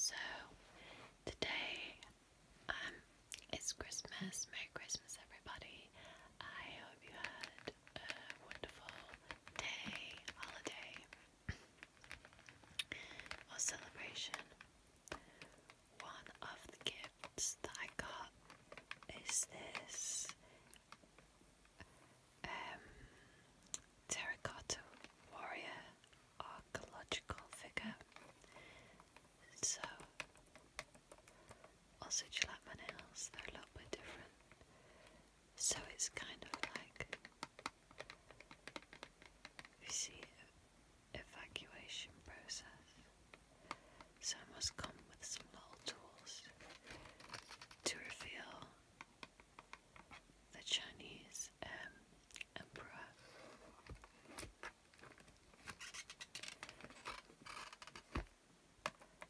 So, today um, it's Christmas. Merry Christmas, everybody. I hope you had a wonderful day, holiday, or celebration. One of the gifts that I got is this um, terracotta warrior archaeological figure. So, also, like my nails? They're a little bit different. So it's kind of like you see evacuation process. So I must come with some tools to reveal the Chinese um, emperor.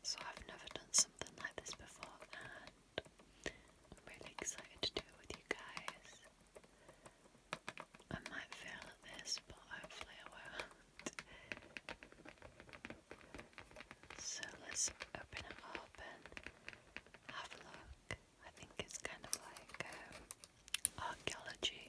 So I've never done something like this before and I'm really excited to do it with you guys. I might fail at this but hopefully I won't. So let's open it up and have a look. I think it's kind of like um, archaeology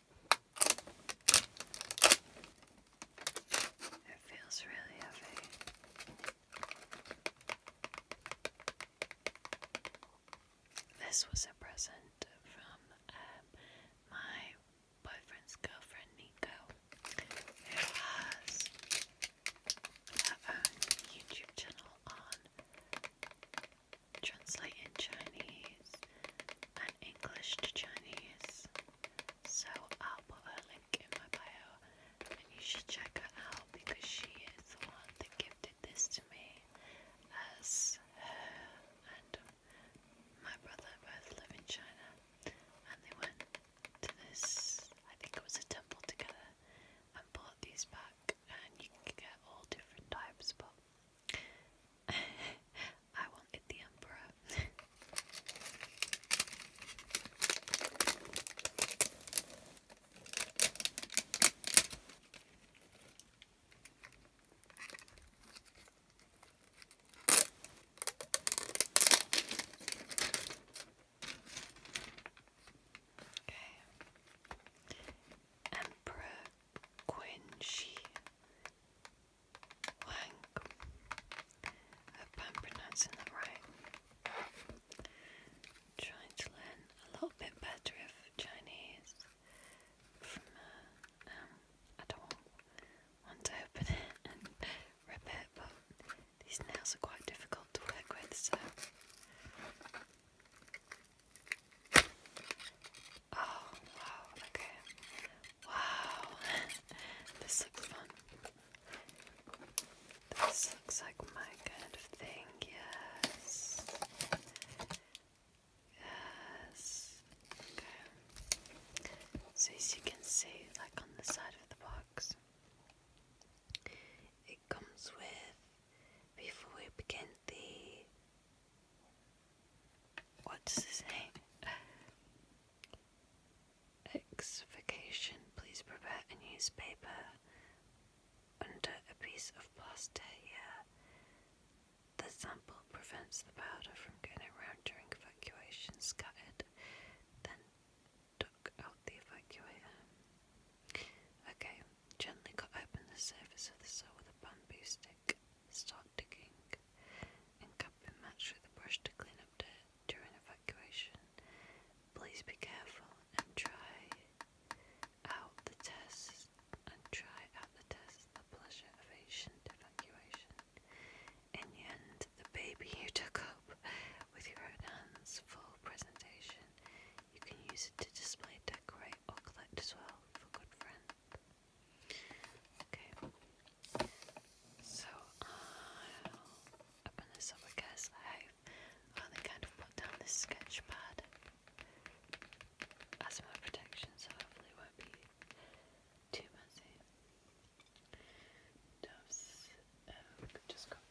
It feels really heavy. This was a present from um, my boyfriend's girlfriend Nico, who has her own YouTube channel on translating Chinese and English to Chinese. So I'll put her link in my bio and you should check her out because she is the one that gifted this to me as her and my brother both live in China and they went to this I think it was a temple together and bought these back and you can get all different types but I wanted the emperor. okay. Emperor Quinshi Wank. hope I'm pronouncing that right. trying to learn a little bit better of Chinese from uh, um, I don't open it and rip it, but these nails are quite difficult to work with, so. Oh, wow, okay. Wow, this looks fun. This looks like my kind of thing, yes. Yes. Okay. So, as you can see, like on the side of the box, it comes with, before we begin the What's his name? Exfication. Please prepare a newspaper under a piece of plaster here. The sample prevents the powder from getting around during evacuation. Scattered, then took out the evacuator. Okay, gently cut open the surface of the soil with a bamboo stick. Start digging and with a brush to clean up during evacuation. Please be careful and try out the tests and try out the tests the pleasure of ancient evacuation. In the end, the baby you took up with your own hands for presentation, you can use it to display, decorate, or collect as well for good friends. Okay. So i open this up because i kind of put down this sketch pad as my protection, so hopefully won't be too messy. Doves, oh, just got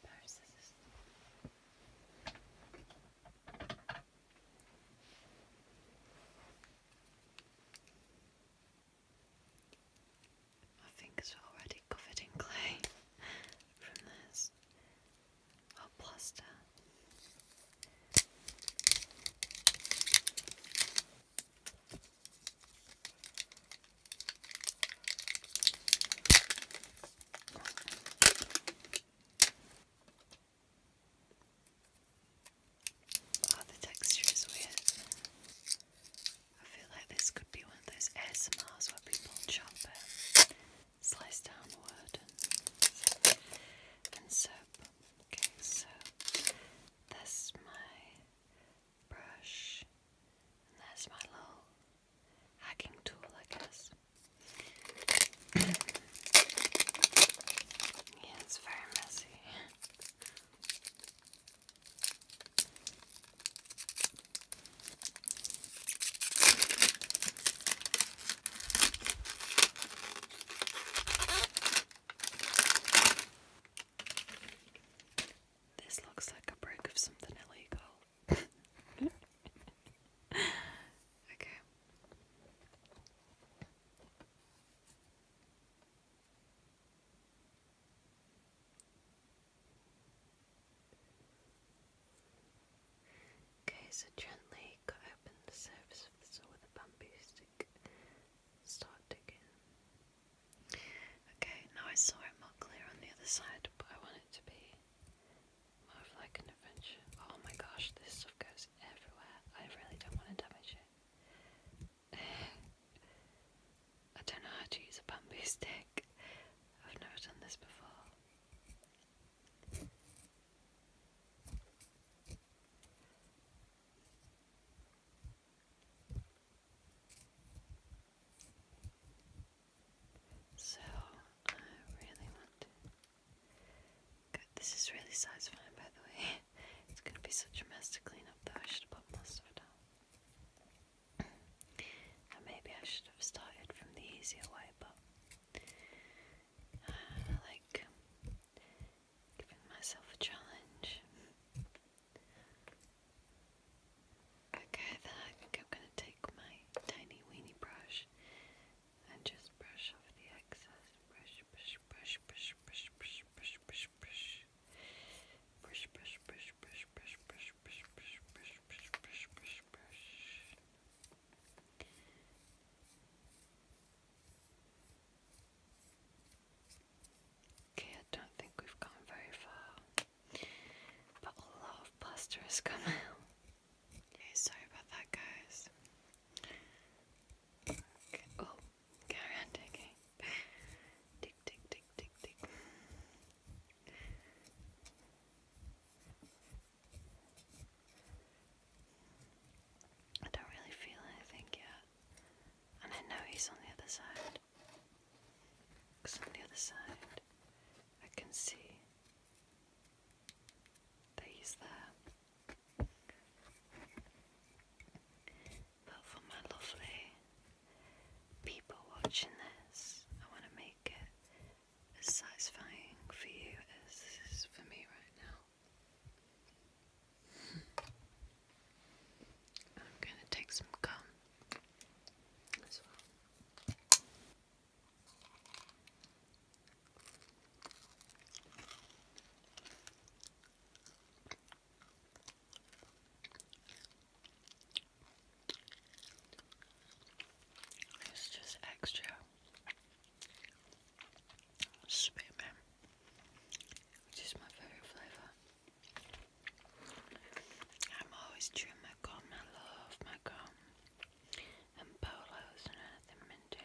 my fingers are already covered in clay from this. Or plaster. Oh, the texture is weird. I feel like this could be one of those ASMRs where people chop it, slice down and, soap. Okay, so that's my brush, and that's my little hacking tool, I guess. yeah, it's very messy. This looks like a break of something illegal. okay. Okay, so gently cut open the surface of the soil with a bamboo stick. Start digging. Okay, now I saw it more clear on the other side, but I want it to be more like an adventure. Oh my gosh, this stuff goes everywhere. I really don't want to damage it. I don't know how to use a bamboo stick. I've never done this before. So I really want Good. This is really satisfying, by the way. It's gonna be such a mess to clean up, though. I should have put more stuff down. maybe I should have started from the easier way, but uh, like giving myself a challenge. Okay, then I think I'm gonna take my tiny weenie brush and just brush off the excess, brush push, push, push, push, push, push, push, push. Push, push, push, push, push, push, push, push, push, push, push, push, push. Okay, I don't think we've gone very far, but a lot of plaster has come out. Yeah, sorry about that, guys. Okay. Oh, Carry on digging. Dig, dig, dig, dig, I don't really feel anything yet. And I know he's on the other side. Because on the other side, I can see that he's there. But for my lovely people watching this, I want to make it as satisfying for you as this is for me right now. I'm going to take some gum as well. It's just extra spearmint, which is my favourite flavour. I'm always chewing my gum, I love my gum and polos and anything minty.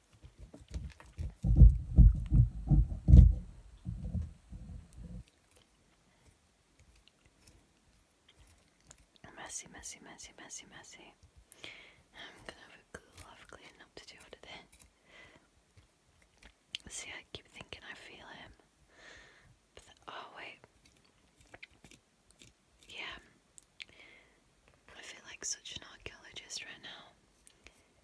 Messy, messy, messy, messy, messy. I'm gonna have a lot of cleaning up today. See, I keep thinking I feel him. oh, wait. Yeah. I feel like such an archaeologist right now.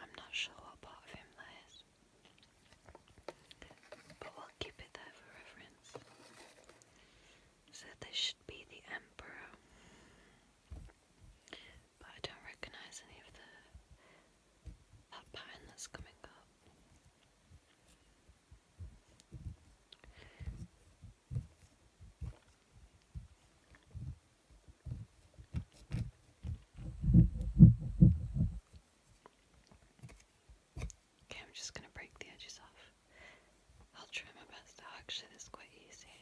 I'm not sure what part of him that is. But we'll keep it there for reference. So this should be the Emperor. But I don't recognise any of the pattern that's coming up. Okay, I'm just going to break the edges off. I'll try my best. actually, this is quite easy.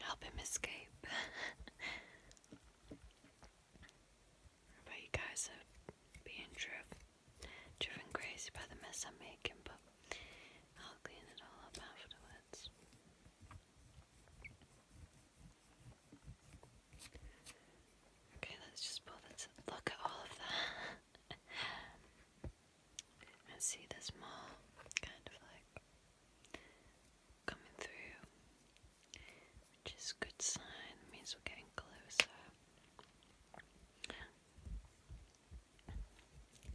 Help him escape. but you guys are being driven, driven crazy by the mess I'm making, but I'll clean it all up afterwards. Okay, let's just bother look at all of that. I see this more kind of like coming through, which is good sign, means we're getting closer.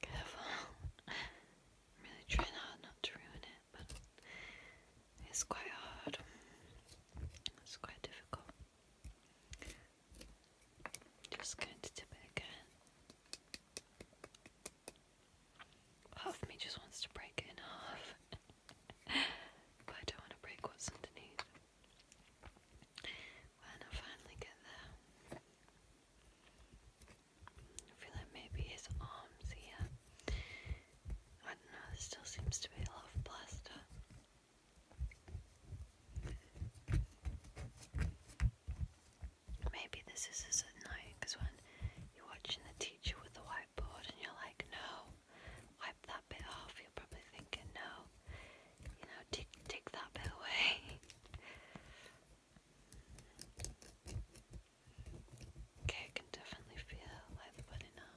careful. really trying hard not to ruin it, but it's quite hard. It's quite difficult. Just going to tip it again. Half of me just wants to break it in half, but I don't want to break what's underneath. When I finally get there, I feel like maybe his arms here. I don't know, still seems to be a lot of plaster. Maybe this is as annoying because when you're watching the teacher with the whiteboard and you're like, no, wipe that bit off. You're probably thinking, no, you know, take, take that bit away. Okay, I can definitely feel like the now.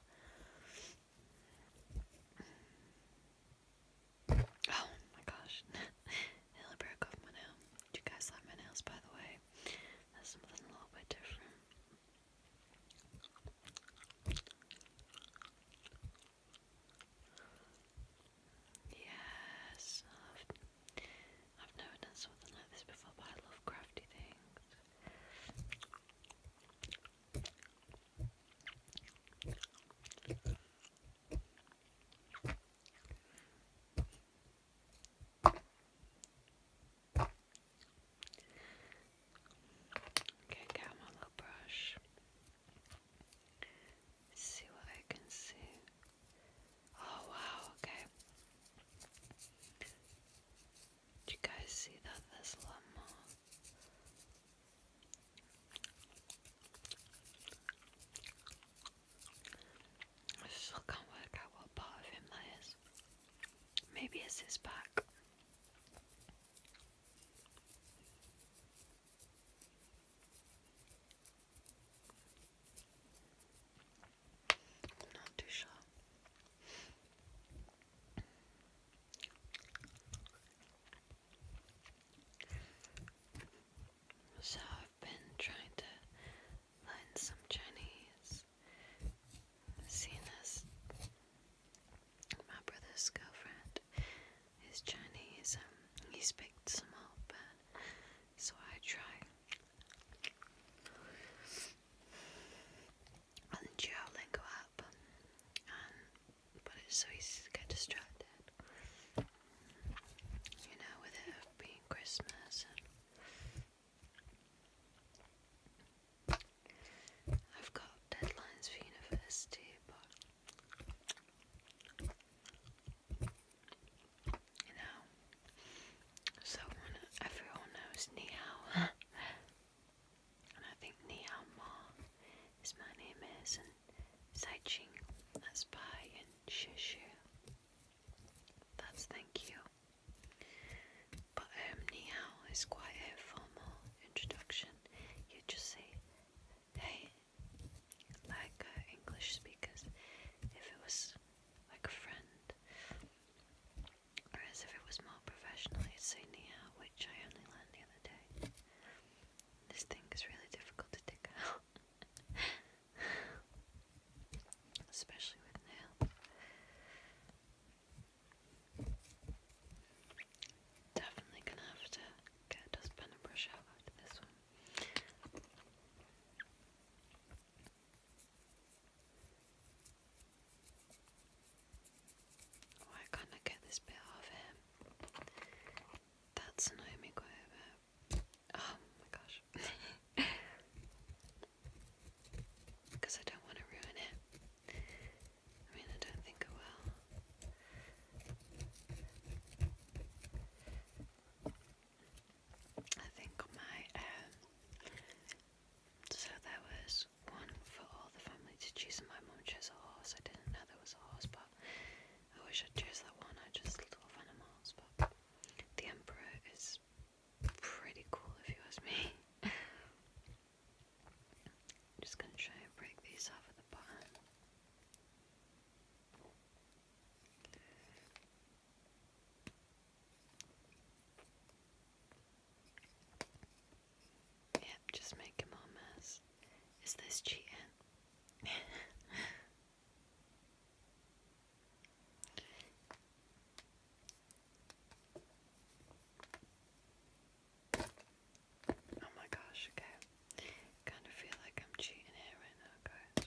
Oh my gosh, nearly broke off my nail. you guys like my nails, by the way? That's something a little bit different. Yes, I've, never done something like this before, but I love crafty things. Okay, get my little brush see what I can see. Oh wow, okay. Do you guys see that? There's a I still can't work out what part of him that is. Maybe it's his back. I'm not too sure. So I've been trying to learn some Chinese. Seeing as my brother's girlfriend is Chinese. Um, he picked some up, and so I try. On the Duolingo um, but it's so easy to distracted. You know, with it being Christmas I've got deadlines for university, but you know, someone everyone knows Nihao, and I think Nihao Ma is my name is, and Saiching, that's bye, and Shishu, that's thank you. But um, Nihao is quite a formal introduction you just say, hey, like English speakers, if it was like a friend, whereas if it was more professional, you'd say Nia, which I only learned the other day. This thing is really difficult to dig out, especially with nail. Definitely gonna have to get a dustpan and brush out after this one. Why can't I get this bit off him? That's annoying me Oh my gosh. Because I don't want to ruin it. I mean, I don't think I will. I think my um, so there was one for all the family to choose my mum chose a horse. I didn't know there was a horse but I wish I'd chose that one. I just love animals but the Emperor is pretty cool if you ask me. I'm just going to try and break these off at the bottom. Yep, just make him all mess. Is this cheating? Oh my gosh, okay. I kind of feel like I'm cheating here right now, guys.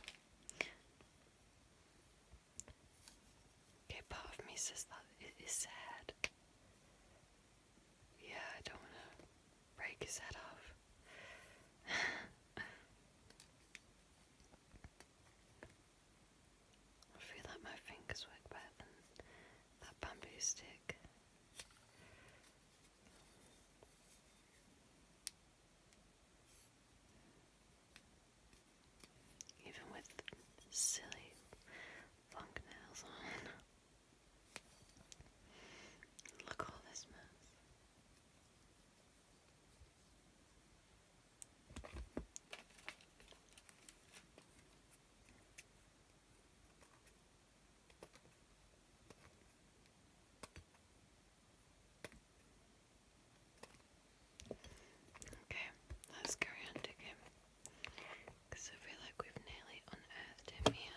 Okay, part of me says that it is sad. Yeah, I don't want to break his off. I feel like my fingers work better than that bamboo stick. Even with silly funk nails on. Look all this mess. Okay, let's go on digging. Because I feel like we've nearly unearthed him here.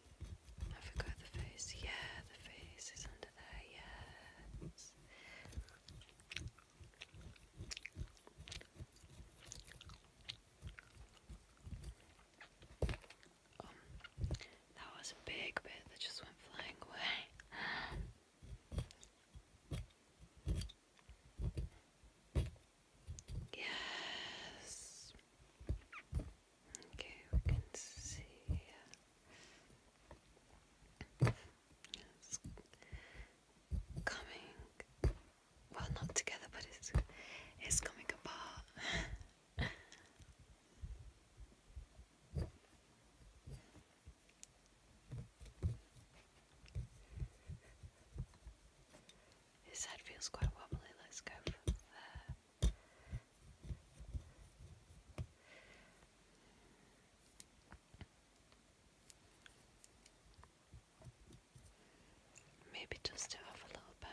I forgot the face. Yeah, the face is under there. Yes. Um, that was a big bit that just went flying away. yes. Okay, we can see. It's coming, well, not together, but it's it's coming apart. His head feels quite wobbly. Let's go from there. Maybe just it off a little bit.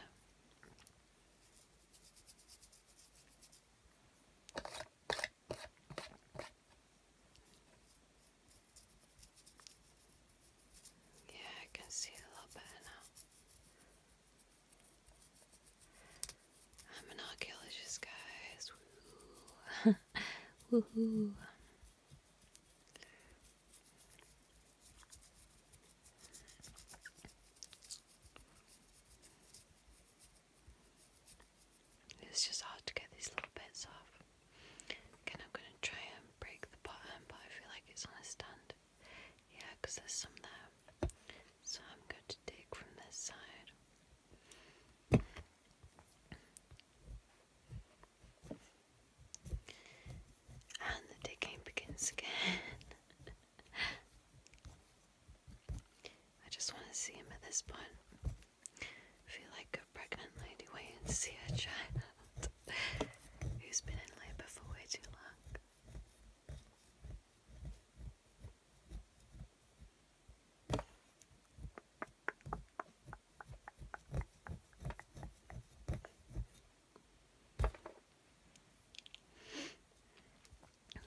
Yeah, I can see a little better now. I'm an archaeologist, guys. It's just hard to get these little bits off. Again, I'm going to try and break the bottom, but I feel like it's on a stand. there's some there. So I'm going to dig from this side. And the digging begins again. I just want to see him at this point. feel like a pregnant lady waiting to see her child who's been in labour for way too long.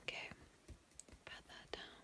Okay, pat that down.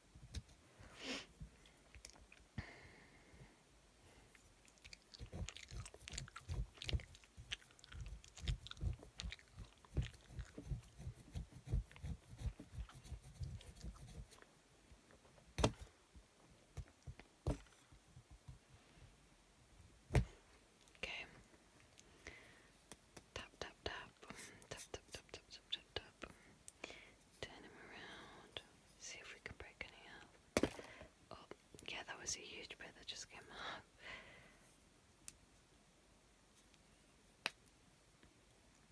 Okay. Tap tap tap. Tap tap tap tap tap tap Turn him around. See if we can break any up. Oh, yeah, that was a huge bit that just came up.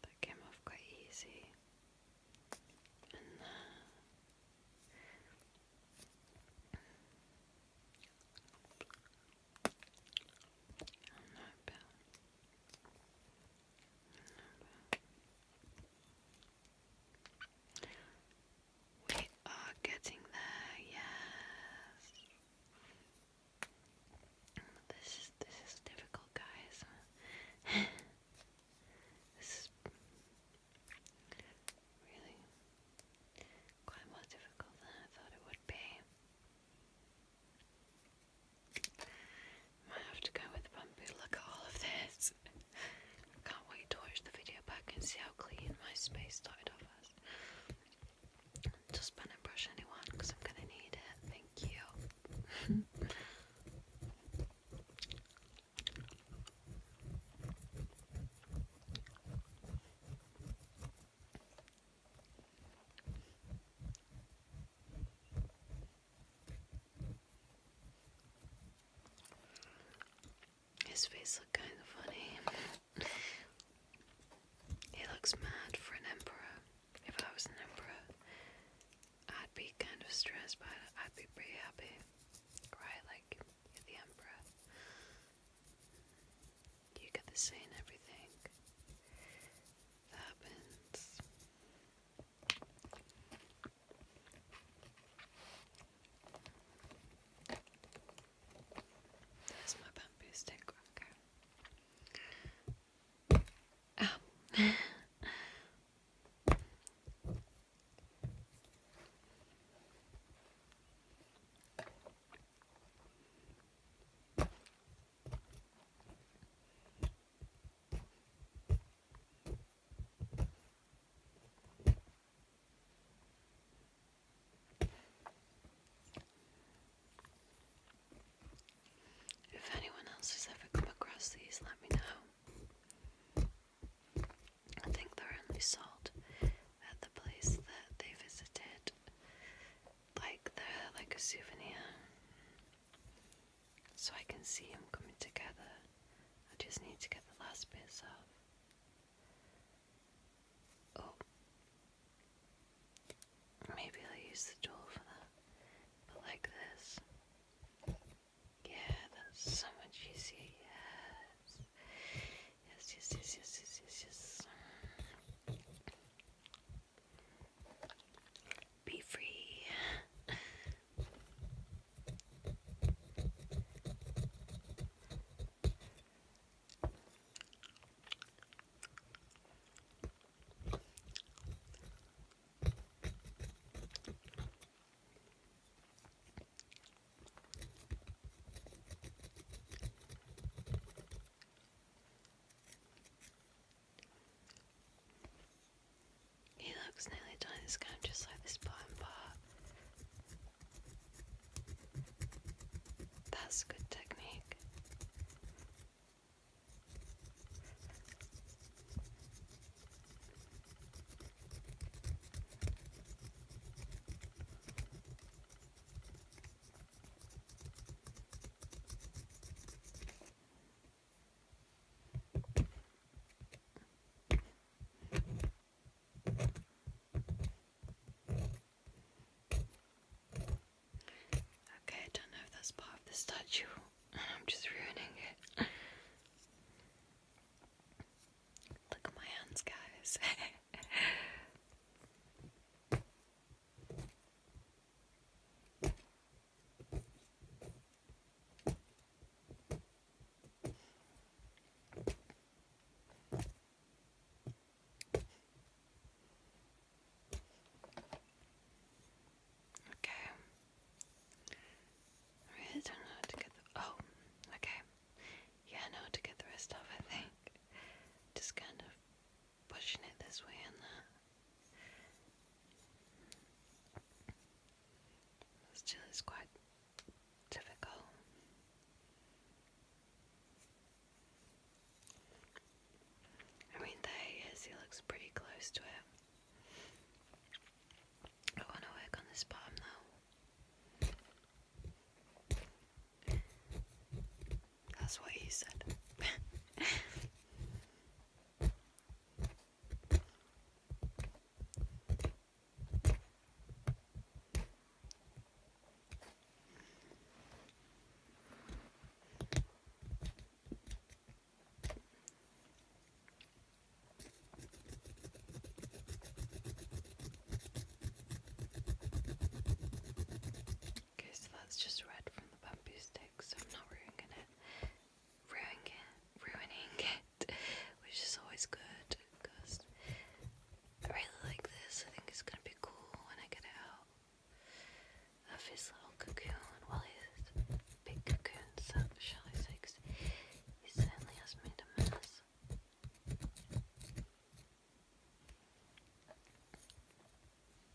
That came off quite easy. And uh, we are getting there, yes. This is this is difficult, guys. this is really quite more difficult than I thought it would be. Might have to go with the bamboo. Look at all of this. can't wait to watch the video back and see how clean my space started off as. Just pen and brush anyone because I'm gonna need it. Thank you. His face looked kind of funny. he looks mad for an emperor. If I was an emperor, I'd be kind of stressed, but I'd be pretty happy. Right? Like, you're the emperor. You get to say in everything happens. There's my bamboo stick. Okay. Ah. If anyone else has ever come across these, let me know. I think they're only sold at the place that they visited. Like they like a souvenir. So I can see them coming together. I just need to get the last bits off. Oh. Maybe I'll use the tool for that. But like this. Yeah, that's so much easier. Yes, yes, yes, yes, yes, yes, yes. Be free. He looks nearly done his game just like this bottom bar. That's good technique. Okay, I don't know if that's part of the statue, I'm just ruining it. Look at my hands, guys. Okay. I really don't know how to get the oh, okay. Yeah, know how to get the rest off, I think. Just kind of pushing it this way and that. Still, it's quite difficult. I mean, there he is, he looks pretty close to it. I want to work on this bottom now. That's what he said. Okay, so that's just red from the bamboo stick, I'm not ruining it. Ruining Ruining it. Which is always good, because I really like this. I think it's going to be cool when I get out of his little cocoon. Well, his big cocoon, so shall I say, he certainly has made a mess.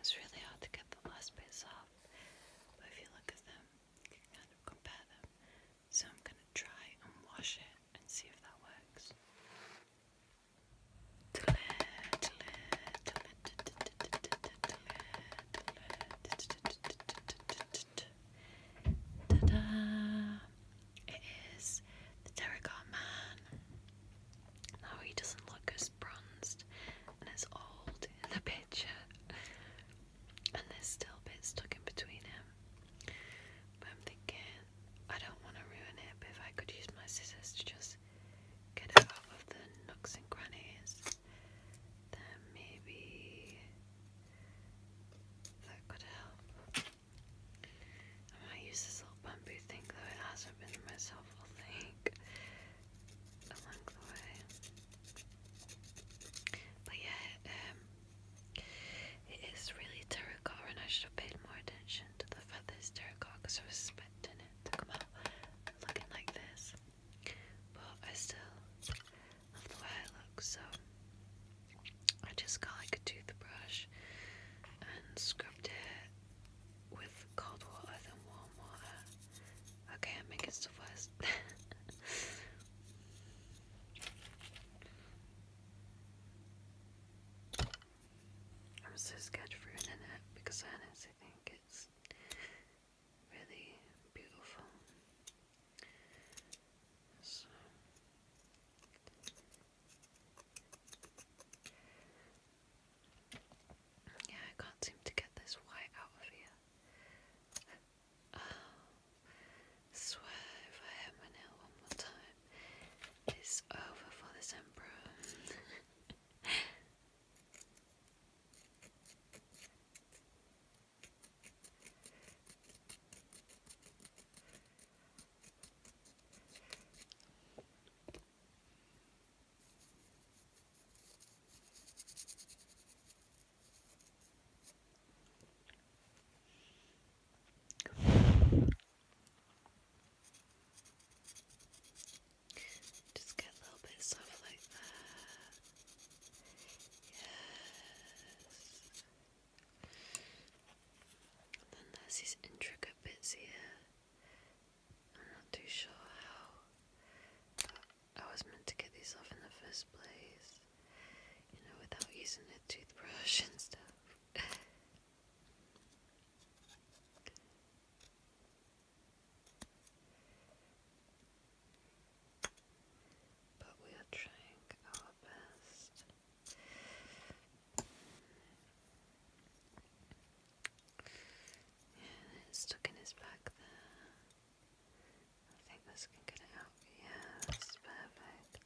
It's really hard to get the last bits off, but if you look at them, you can kind of compare them. So I'm going to try and wash it and see if that works. Ta da! It is the Terracotta Man. Now he doesn't look as bronzed and as old in the picture. And there's still bits stuck in between him. But I'm thinking, I don't want to ruin it, but if I could use my scissors to just get it out of the nooks and crannies, then maybe that could help. I might use this little bamboo thing though, it hasn't been myself, I think, along the way. But yeah, um, it is really terracotta, I should have paid more attention to the fact that because I was expecting it come out looking like this. But I still of the way I look, so I just got like a toothbrush and scrubbed it with cold water and warm water. Okay, I'm making stuff worse. I'm so scared of ruining it because I think it's really beautiful. yeah, I can't seem to get this white out of here. Oh, swear if I hit my nail one more time, it's over for this emperor. Just get a little bit soft like that. Yes. then there's these intricate bits here. I'm not too sure how I was meant to get these off in the first place. You know, without using a toothbrush and stuff but we are trying our best. Yeah, it's stuck in his back there. I think this can get it out. Yeah, that's perfect.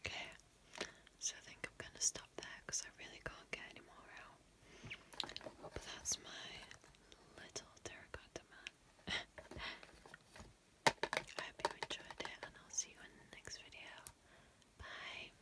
Okay, so I think I'm going to stop there because I really can't get any more out. But that's my little terracotta man. I hope you enjoyed it, and I'll see you in the next video. Bye.